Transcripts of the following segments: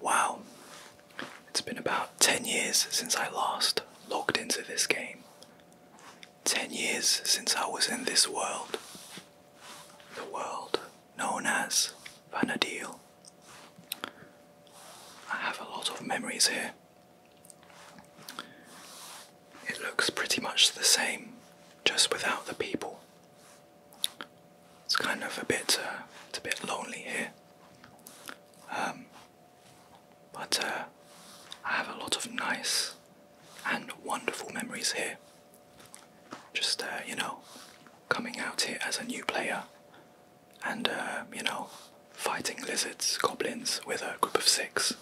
Wow, it's been about 10 years since I last logged into this game. 10 years since I was in this world. The world known as Vanadil. I have a lot of memories here, it looks pretty much the same, just without the people. It's kind of a bit, uh, a bit lonely here. Um, but uh, I have a lot of nice and wonderful memories here. Just uh, you know, coming out here as a new player, and you know, fighting lizards, goblins with a group of six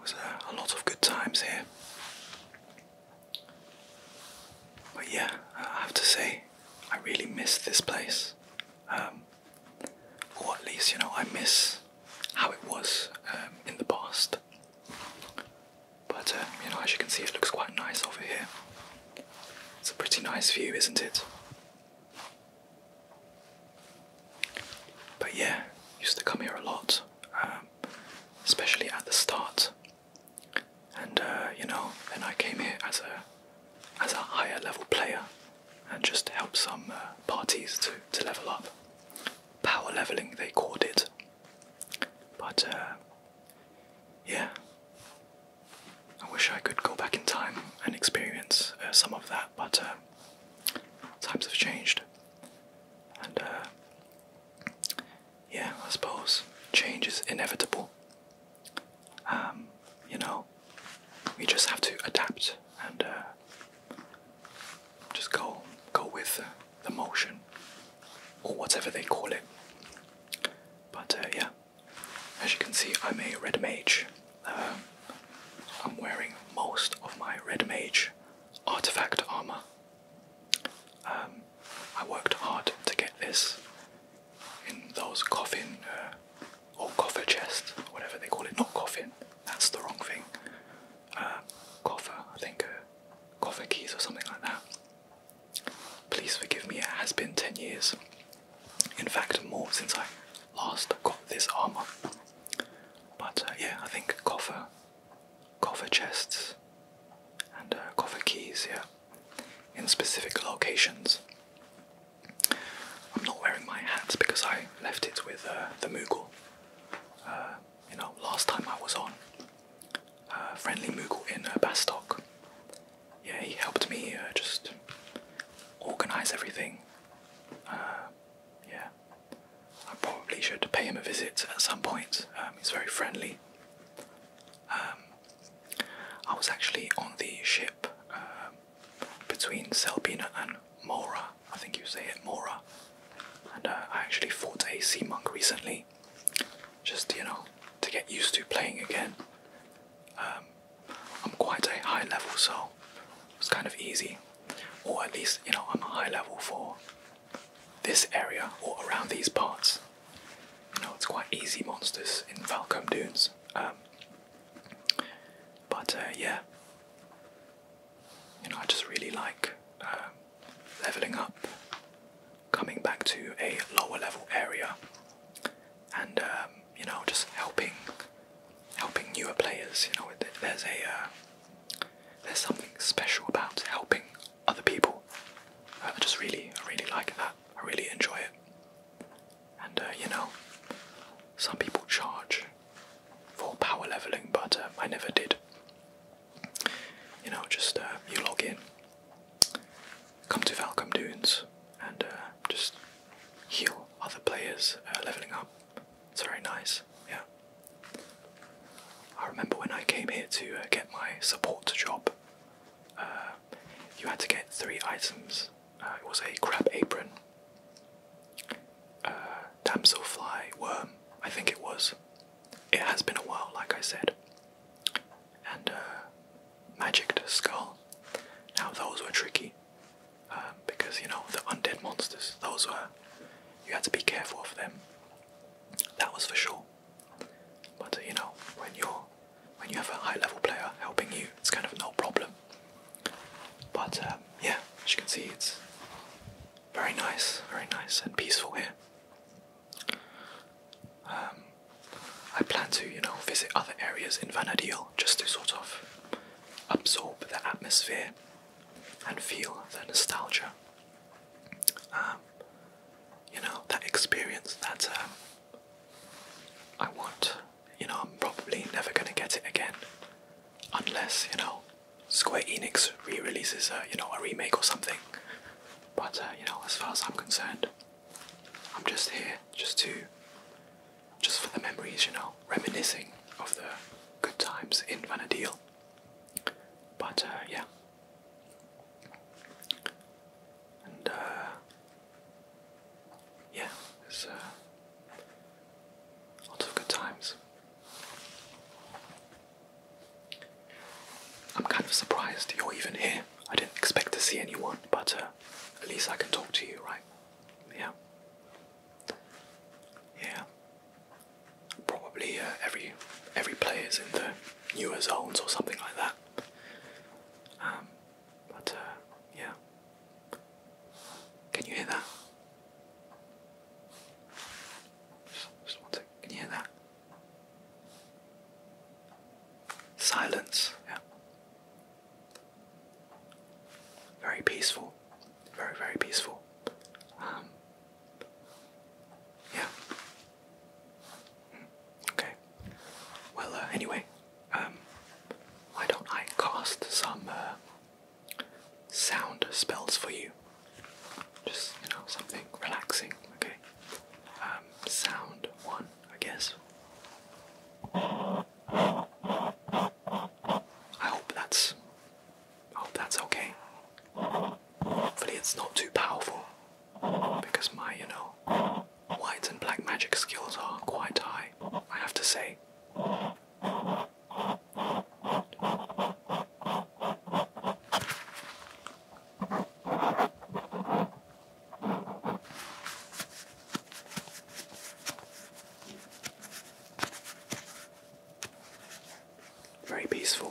was a, lot of good times here. But yeah, I have to say, I really miss this place. Um, or at least, you know, I miss how it was um, in the past. But, um, you know, as you can see, it looks quite nice over here. It's a pretty nice view, isn't it? But yeah, used to come here a lot, um, especially at the start. And uh, you know, then I came here as a as a higher level player, and just help some uh, parties to to level up. Power leveling, they called it. But uh, yeah, I wish I could go back in time and experience some of that, but. Um, times have changed. And uh, yeah, I suppose change is inevitable. Um, you know, we just have to adapt and uh, just go go with the motion or whatever they call it. But uh, yeah, as you can see, I'm a red mage. I'm wearing most of my Red Mage artifact armor. Um, I worked hard to get this in those coffin uh, or coffer chest, whatever they call it. Not coffin, that's the wrong thing. Uh, coffer, I think uh, coffer keys or something like that. Please forgive me, it has been 10 years. In fact, more since I last got this armor. But uh, yeah, I think cover, coffer chests, and uh, cover keys. Yeah, in specific locations. I'm not wearing my hat because I left it with uh, the Mughal. you know, last time I was on uh, friendly Mughal in Bastok. Yeah, he helped me just organize everything. yeah, I probably should pay him a visit at some point. Um, he's very friendly. Um, I was actually on the ship um, between Selbina and Mora. I think you say it, Mora. And uh, I actually fought a sea monk recently, just you know, to get used to playing again. I'm quite a high level, so it was kind of easy or at least you know I'm a high level for this area or around these parts. You know it's quite easy monsters in Falcom Dunes. Um, but uh, yeah, you know I just really like um, leveling up, coming back to a lower level area, and um, you know just helping helping newer players. You know there's a uh, there's something special about helping other people. I just really, I really like that. I really enjoy it. And uh, you know, some people charge for power leveling, but uh, I never did. You know, just uh, you log in, come to Valcom Dunes, and just heal other players leveling up. It's very nice, yeah. I remember when I came here to uh, get my support job, uh, you had to get three items. Uh, it was a crab apron, uh, damselfly worm, I think it was. It has been a while, like I said. And uh, magicked skull. Now those were tricky. Um, because you know the undead monsters, those were you had to be careful of them. That was for sure. But you know when you're when you have a high level player helping you, it's kind of no problem. But um, yeah, as you can see, it's very nice, very nice and peaceful here. Um, I plan to, you know, visit other areas in Vanadil just to sort of absorb the atmosphere and feel the nostalgia. Um, you know, that experience that um, I want. You know, I'm probably never gonna get it again, unless you know Square Enix re-releases a you know a remake or something. But uh, you know, as far as I'm concerned, I'm just here just to, just for the memories. You know, reminiscing of the good times in Vanadil. But uh, yeah. And uh, yeah, there's uh, lots of good times. I'm kind of surprised you're even here. I didn't expect to see anyone, but uh, at least I can talk to you, right? Yeah. Yeah. Probably uh, every player is in the newer zones or something like that. Um, but uh, yeah. Can you hear that? Just one second. Can you hear that? Silence. Yeah. Very peaceful very, very peaceful. Um, yeah. Hmm. Okay. Well, uh, anyway, um, why don't I cast some uh, sound spells for you? Just, you know, something relaxing, okay? Um, sound one, I guess. I hope that's hope oh, that's okay. Hopefully, it's not too powerful because my, you know, white and black magic skills are quite high, I have to say. Very peaceful.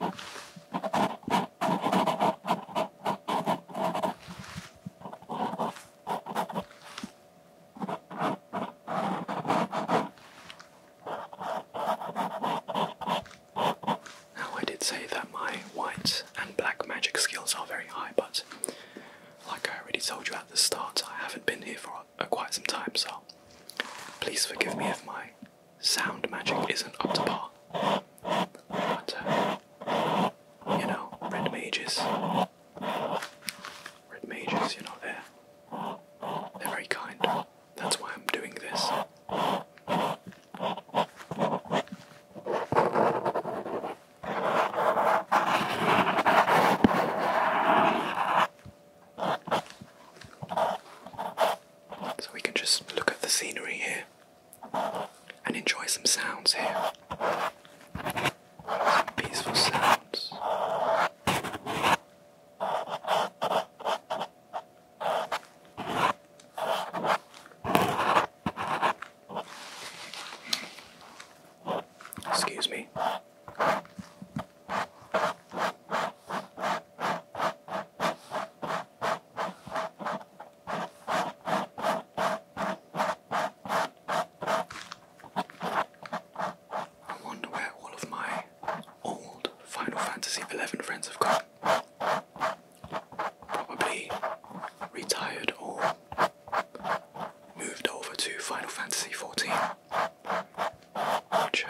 Now, I did say that my white and black magic skills are very high, but like I already told you at the start, I haven't been here for uh, quite some time, so please forgive me if my sound magic isn't up to par. But, uh, you know, red mages. Red mages, you know, they're very kind. That's why I'm doing this. So we can just look at the scenery here and enjoy some sounds here. peaceful sounds. Excuse me. I wonder where all of my old Final Fantasy 11 friends have gone. Probably retired or moved over to Final Fantasy XIV. Which,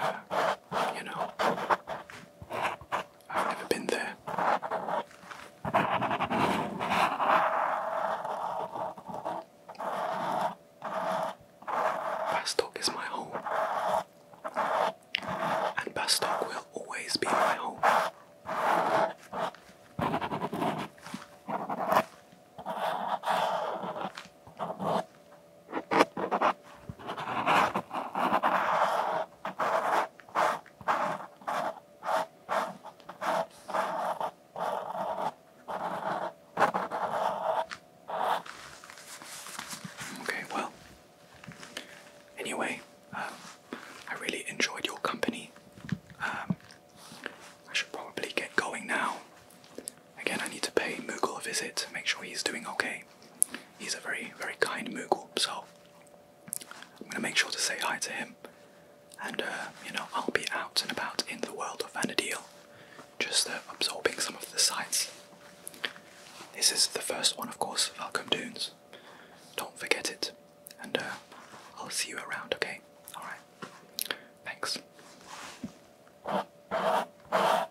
you know, I've never been there. Bastock is my home, and Bastock will always be my home. Okay, well, anyway, um, I really enjoyed your company. Um, I should probably get going now. Again, I need to pay Moogle a visit, to make sure he's doing okay. He's a very, very kind Moogle, so I'm gonna make sure to say hi to him. And, uh, you know, I'll be out and about in the world of Vanadil, just uh, absorbing some of the sights. This is the first one, of course, Falcom Dunes. Don't forget it. And uh, I'll see you around, okay? Alright. Thanks.